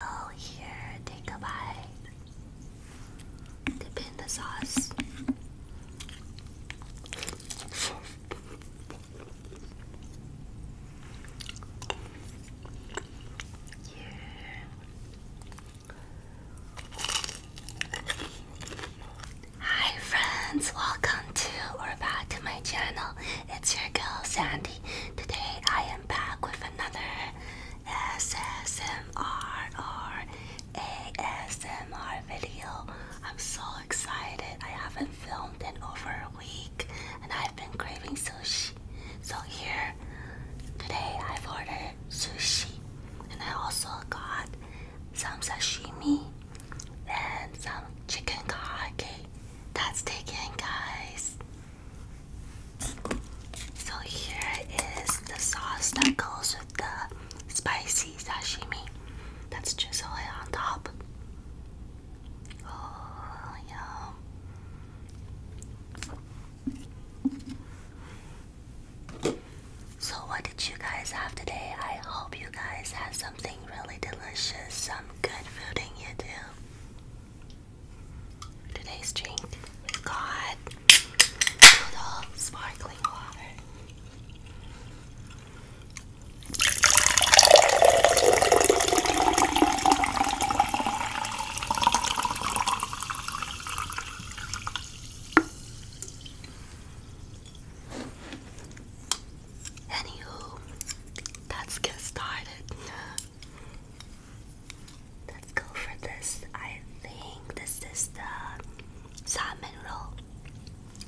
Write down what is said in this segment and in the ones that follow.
Oh, here, take a bite. Dip in the sauce. Hi friends, welcome to or back to my channel. It's your girl Sandy. Today I am back with another SSMR ASMR video. I'm so excited. I haven't filmed in over a week and I've been craving sushi. So here today I've ordered sushi and I also got some sashimi and some chicken kage. That's taken guys. So here is the sauce that goes with the spicy sashimi. That's drizzled on top. Oh yeah. So what did you guys have today? I hope you guys had something really delicious, some good food in you too. Today's drink we got sparkling water. Anywho, let's get started. Let's go for this. I think this is the salmon roll.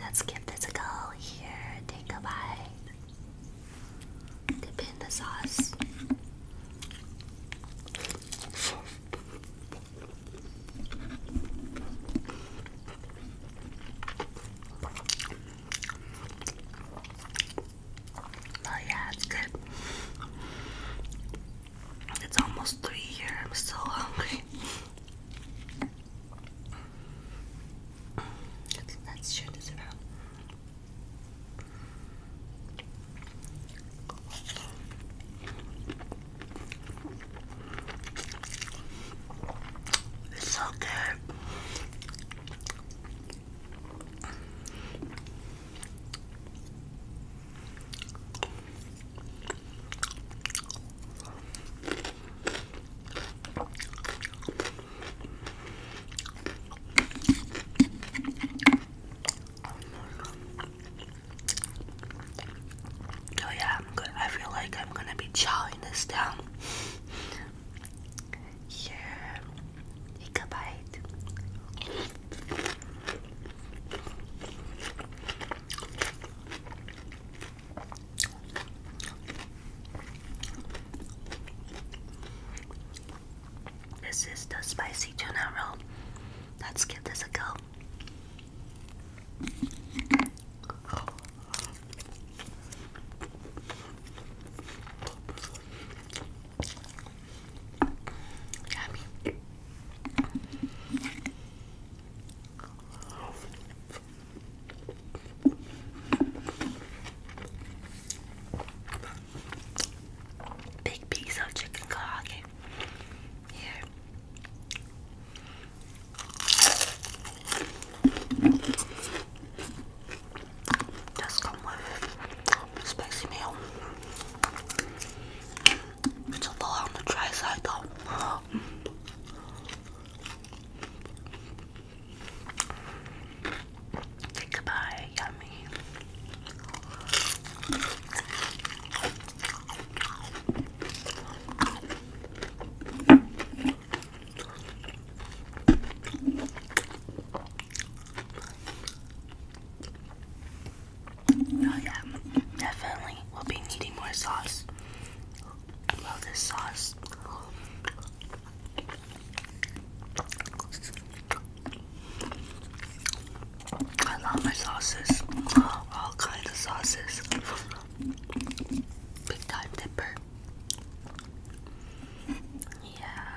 Let's give this a go. Here, take a bite. Dip in the sauce. But yeah, it's good. It's almost three here. I'm still hungry. let's share this around. It's so good. Oh yeah, I'm good. I feel like I'm gonna be chowing this down take a bite. This is the spicy tuna roll. Let's give this a go. Yummy. Big piece of chicken karaage here does come with spicy meal. It's a little on the side though. Say goodbye, yummy. Oh yeah, definitely. We'll be needing more sauce. I love this sauce. I love my sauces. All kinds of sauces. Big time dipper. Yeah. Happy.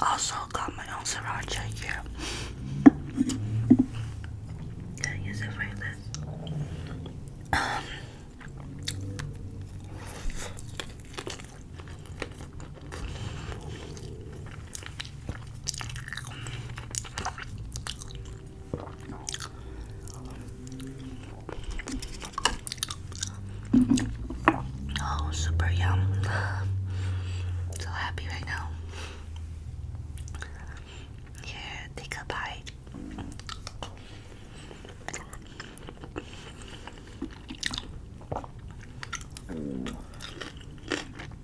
Also got my own sriracha here. got use it for this. Oh, super yum. So happy right now. Here, take a bite.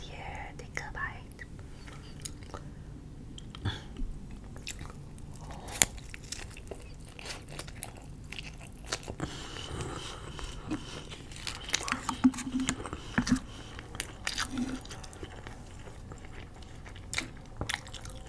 Here, take a bite.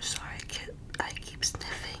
Sorry, I, can't, I keep sniffing.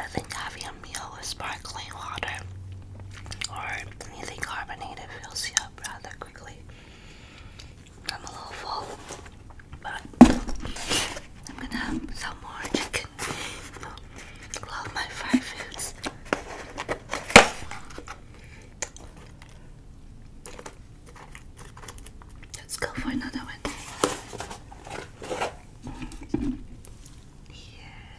I think having a meal with sparkling water or anything carbonated fills you up rather quickly. I'm a little full. But I'm gonna have some more chicken. Love my fried foods. Let's go for another one. Yeah.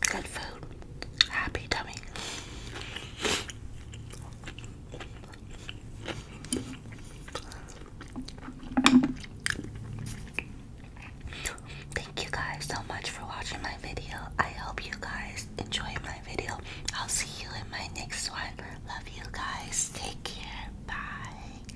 Good food. Happy tummy. Thank you guys so much for watching my video. I hope you guys enjoyed my video. I'll see you in my next one. Love you guys. Take care. Bye.